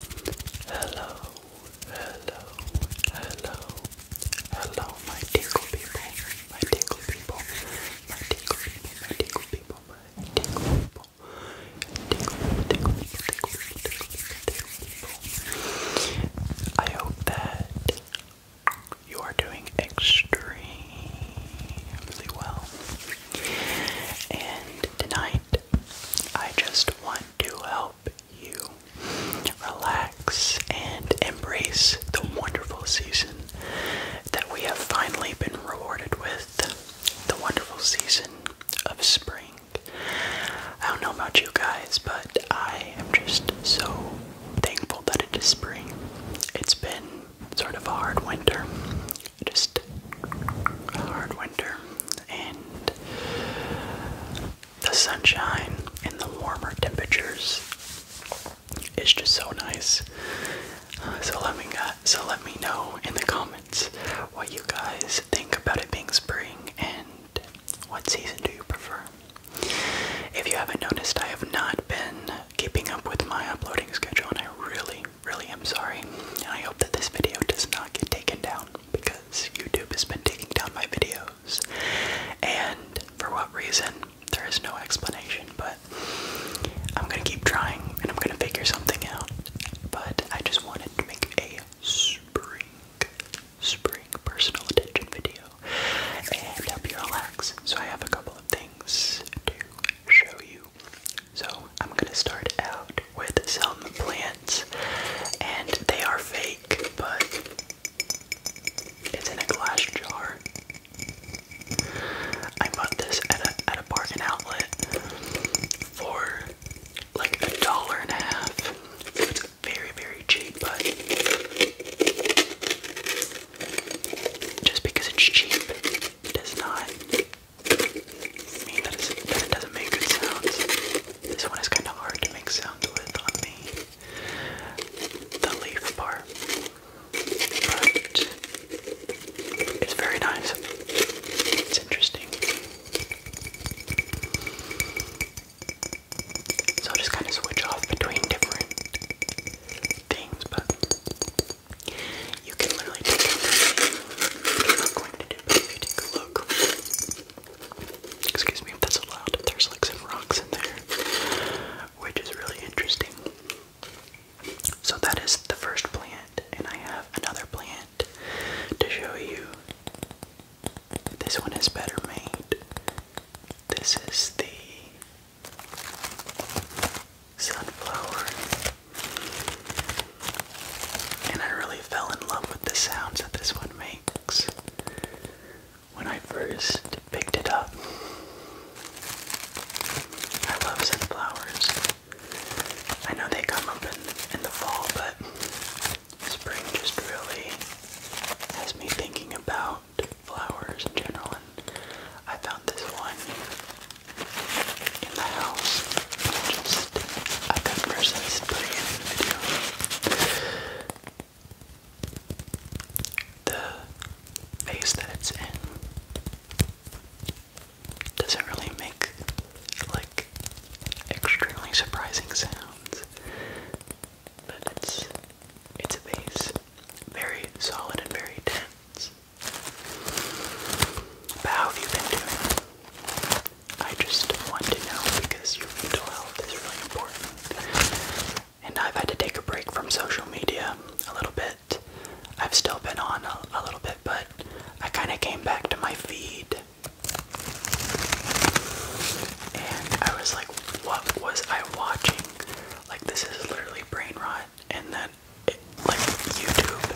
Hello, hello, hello, hello, my tickle people, my tickle people, my tickle people, my tickle people, my tickle people, tickle, tickle, tickle, tickle, tickle people. I hope that you are doing extremely well. And tonight, I just want to help you relax and embrace the wonderful season that we have finally been rewarded with the wonderful season of spring. I don't know about you guys, but I am just so thankful that it is spring. It's been sort of a hard winter, just hard winter and the sunshine and the warmer temperatures is just so nice. Uh, so let me uh, so let me know in the comments what you guys think about it being spring and what season do you prefer. If you haven't noticed, I have not been keeping up with my uploading schedule, and I really, really i am sorry, I hope that this video does not get taken down because YouTube has been taking down my videos, and for what reason, there is no explanation, but I'm gonna keep trying and I'm gonna figure something out. But I just wanted to make a spring, spring personal attention video and help you relax. So I have a couple of things to show you. So I'm gonna start out with some plants, and they are fake, but it's in a glass jar. I bought this at a at a bargain outlet for like a dollar and a half. It's very very cheap, but just because it's cheap, it does not mean that it doesn't make good sounds. This one is kind of hard to make sound with on me. the leaf part. But it's very nice. It's interesting. So I'll just kind of switch off between different things, but Excuse me if that's allowed. There's like some rocks in there, which is really interesting. So that is the first plant, and I have another plant to show you. This one is better made. This is the sunflower. And I really fell in love with the sounds that this one makes when I first picked it up. I love sunflowers. I know they come up in, in the fall, but spring just really has me thinking about flowers in general, I found this one in the house. just, I couldn't resist the video. The face that it's in doesn't really make like extremely surprising sounds, but it's it's a bass, very solid and very dense. But how have you been doing? I just want to know because your mental health is really important. And I've had to take a break from social media a little bit. I've still been on a, little bit, but I kind of came back to my feed. And I was like, what was I watching? Like, this is literally brain rot. And then like YouTube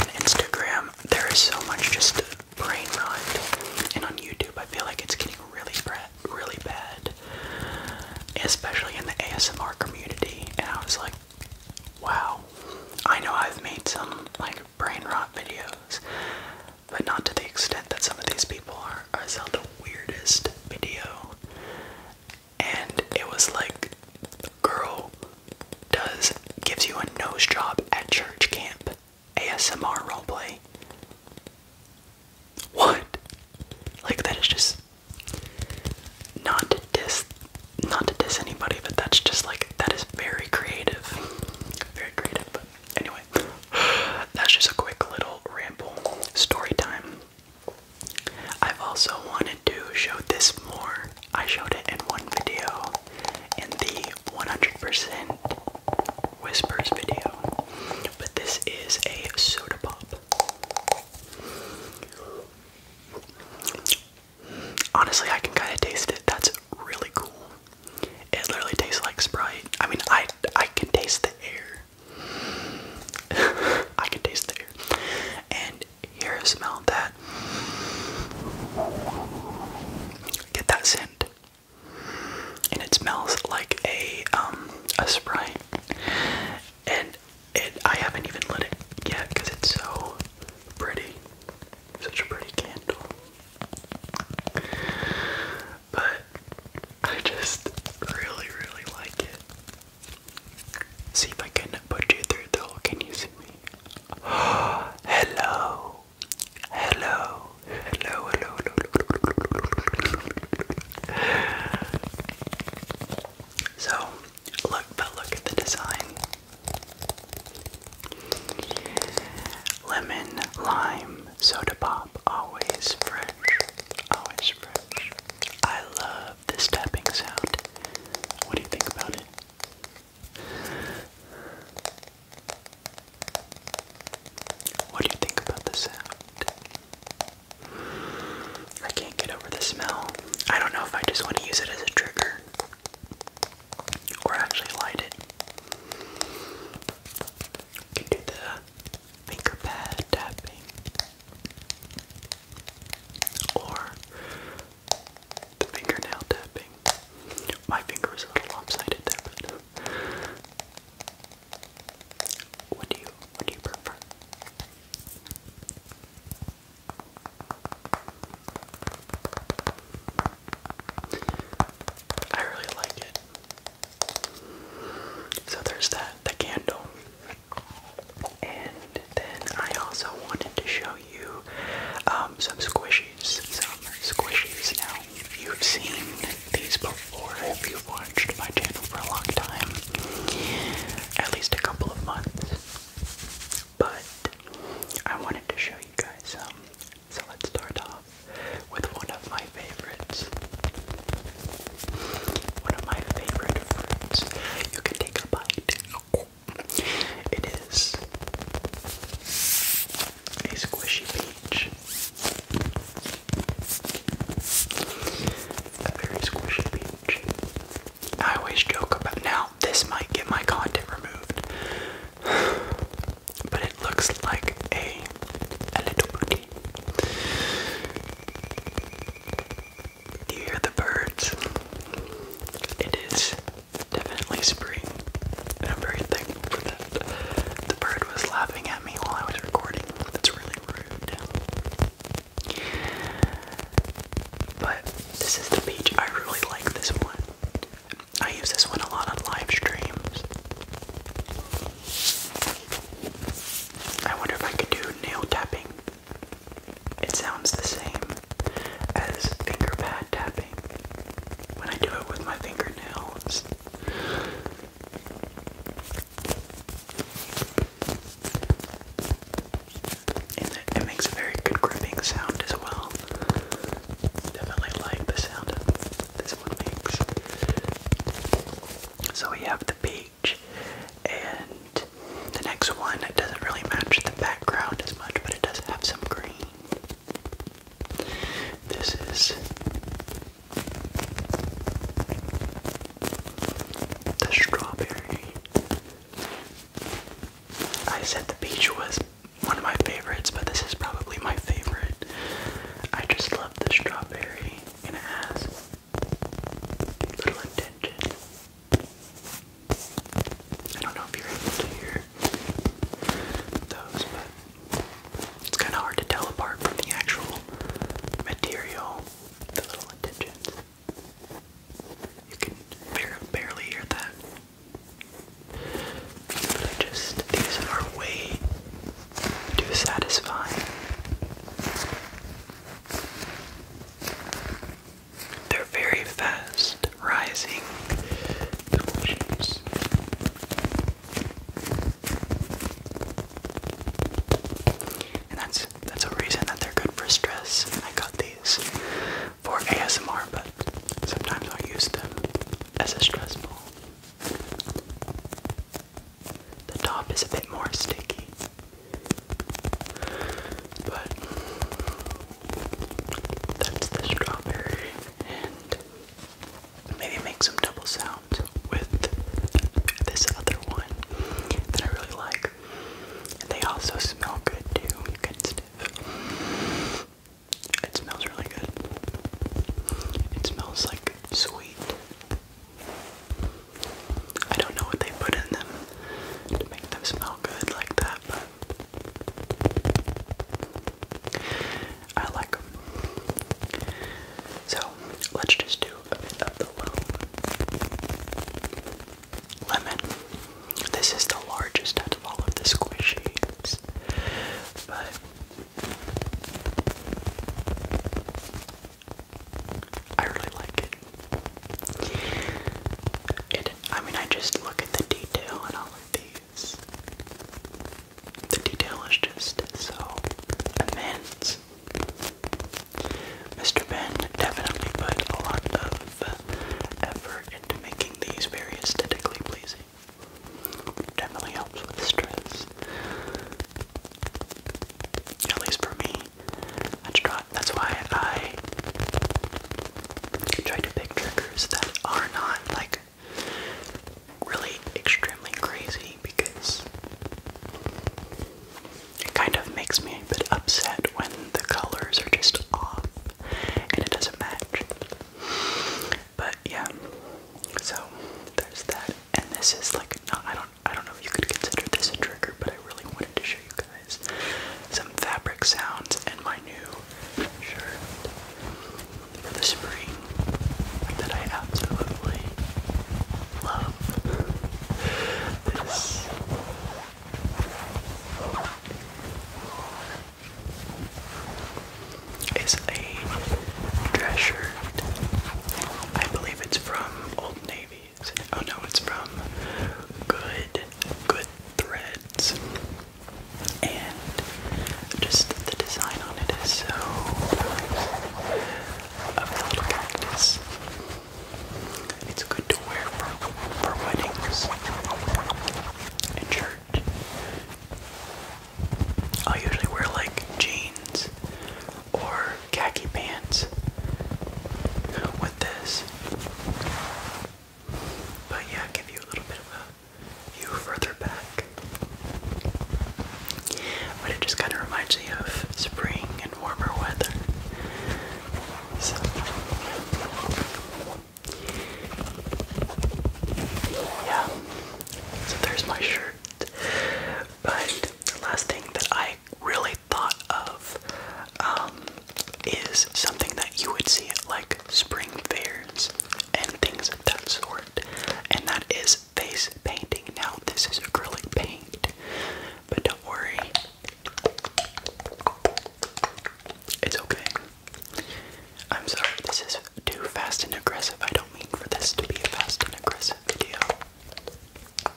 and Instagram, there is so much just brain rot. And on YouTube, I feel like it's getting really, really bad, especially in the ASMR community. And I was like, wow, I know I've made some like brain rot videos, but not to the extent that some of these people are. I sell the weirdest video and it was like the girl does gives you a nose job at church camp. ASMR roleplay. What? Like that is just not to not to diss anybody, but that's just like that is very creative. Very creative. But anyway. That's just a quick little ramble. Story time. I've also wanted to show this more. I showed it in one video in the 100% whispers video, but this is a soda pop. Honestly, I can kind of taste it. That's really cool. It literally tastes like Sprite. I mean, I I can taste the air. I can taste the air. And here, smell that. Get that scent. And it smells like a um a sprite. And it I haven't even lit it yet because it's so pretty. Such a pretty candle. But I just really, really like it. See if I can put you through the hole. Can you see me? Hello. Hello, hello, hello, hello. So, look, but look at the design. Lemon, lime, soda pop, always fresh, always fresh. I love this tapping sound. What do you think about it? What do you think about the sound? I can't get over the smell. I don't know if I just want to use it as a trigger or actually light it. can do the finger pad tapping or the fingernail tapping. My finger is a little lopsided there, what do you what do you prefer? I really like it. So there's that, the candle. And then I also wanted to show you um, some squishies. Some squishies. Now, you've seen these before if you've watched my channel for a long time, at least a couple of months. But I wanted to show you guys some. Um, so let's start off with one of my favorites. One of my favorite fruits. You can take a bite. It is a squishy peach. A very squishy peach. I always joke about now. This might get my content removed, but it looks like a a little booty. Do you hear the birds? It is definitely spring, and I'm very thankful for that. The bird was laughing at me while I was recording. That's really rude. But this is the beach. I really like this one. I use this one a lot on live streams. I wonder if I could do nail tapping. It sounds the same as finger pad tapping when I do it with my fingernails. And it, makes a very good gripping sound as well. Definitely like the sound this one makes. So we have the B, and the next one it doesn't really match the background as much, but it does have some green. This is the strawberry. I said the beach was one of my favorites, but this is probably my favorite. I just love the strawberry, and it little intention. I don't know if you're able to hear those, but it's kind of hard to tell apart from the actual material, the little intentions. You can barely hear that. But I just, these are way too satisfying. They're very fast rising And that's that's a reason that they're good for stress. I got these for ASMR, but sometimes I'll use them as a stress ball. The top is a bit more sticky. But that's the strawberry and maybe make some double sounds with this other one that I really like. they also smell good too. It smells really good. It smells like sweet I don't know what they put in them to make them smell good like that, but I like them. So let's just do a bit of the lemon. This is the largest out of all of the squishies, but I really like it. It I mean I just look at the detail in all of these. The detail is just so immense. Mr. Ben definitely put a lot of effort into making these very aesthetically pleasing. Definitely helps with stress. At least for me, that's, why I try to pick triggers that are not like really extremely crazy because it kind of makes me a bit upset when the colors are just off and it doesn't match. But yeah, so there's that and this is like not, I don't I don't know if you could consider this a trigger, but I really wanted to show you guys some fabric sounds and my new shirt for the spring that I absolutely love. This is a dress shirt. I believe it's from Old Navy. Oh no, it's from Good Good Threads. And just the design on it is so nice. It's good to wear for, weddings and church i usually wear like jeans or khaki pants with this. But yeah, give you a little bit of a view further back. But it just kind of reminds me of spring and warmer weather. So. Yeah. So there's my shirt. But the last thing that I really thought of um, is something that you would see at like spring fairs and things of that sort, and that is face painting. Now, this is acrylic paint, but don't worry, it's okay. I'm sorry, this is too fast and aggressive. I don't mean for this to be a fast and aggressive video,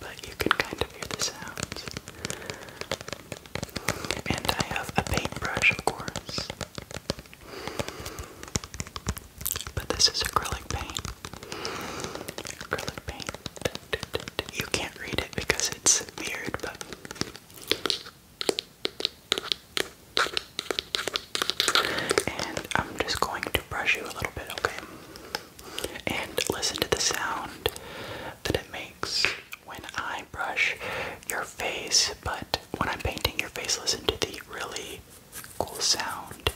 but you can kind of hear the sounds. And I have a paintbrush, of course. But this is acrylic paint. Acrylic paint. You can't read it because it's mirrored, but and I'm just going to brush you a little bit, okay? And listen to the sound that it makes when I brush your face, but when I'm painting your face, listen to the really cool sound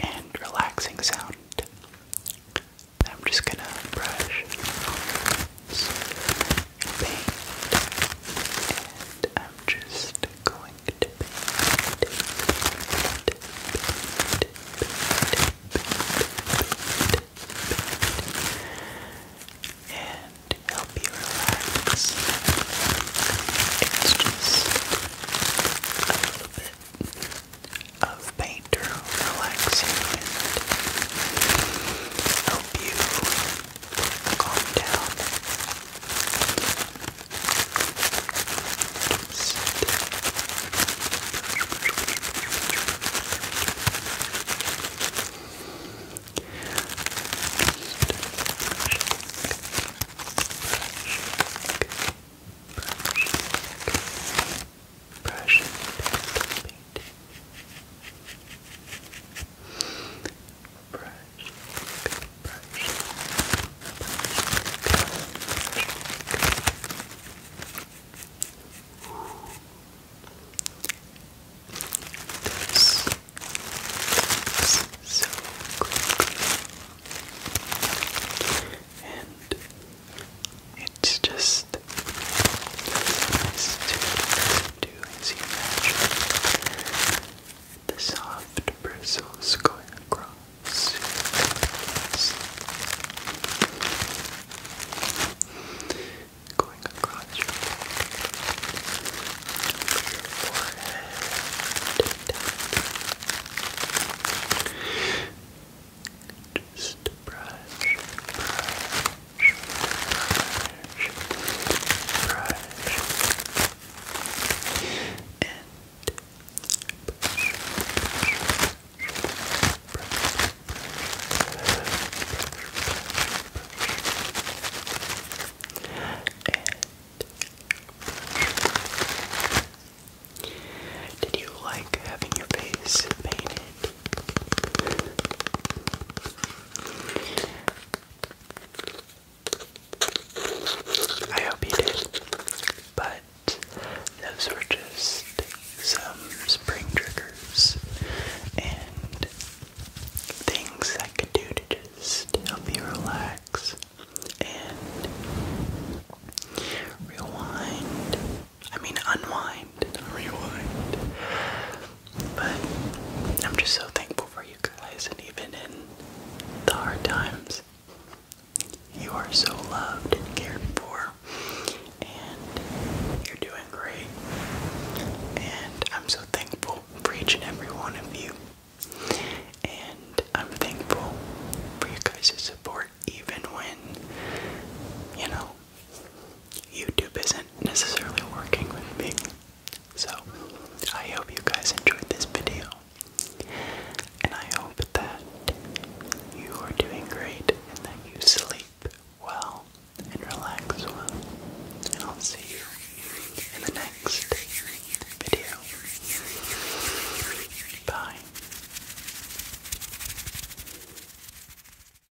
and relaxing sound. I'm just gonna brush paint, and I'm just going to paint, paint, paint, paint, paint, and help you relax. It's just a little bit of paint to and help you calm down. Brushing, brushing, Brush, brush, brush, so quickly. And it's just, do is imagine the soft bristles going across Going across your forehead. Just brush, brush, did you like having your face painted? I hope you did. But those were just some spring triggers and things I could do to just help you relax and rewind. I mean, unwind, rewind. But I'm just so thankful for you guys, and even in the hard times, you are so loved and cared for, and you're doing great. And I'm so thankful for each and every one of you. And I'm thankful for you guys' support, even when, you know, YouTube isn't necessarily working with me. So, I hope you guys enjoyed this video. And I hope that you are doing great and that you sleep well and relax well. And I'll see you in the next video. Bye.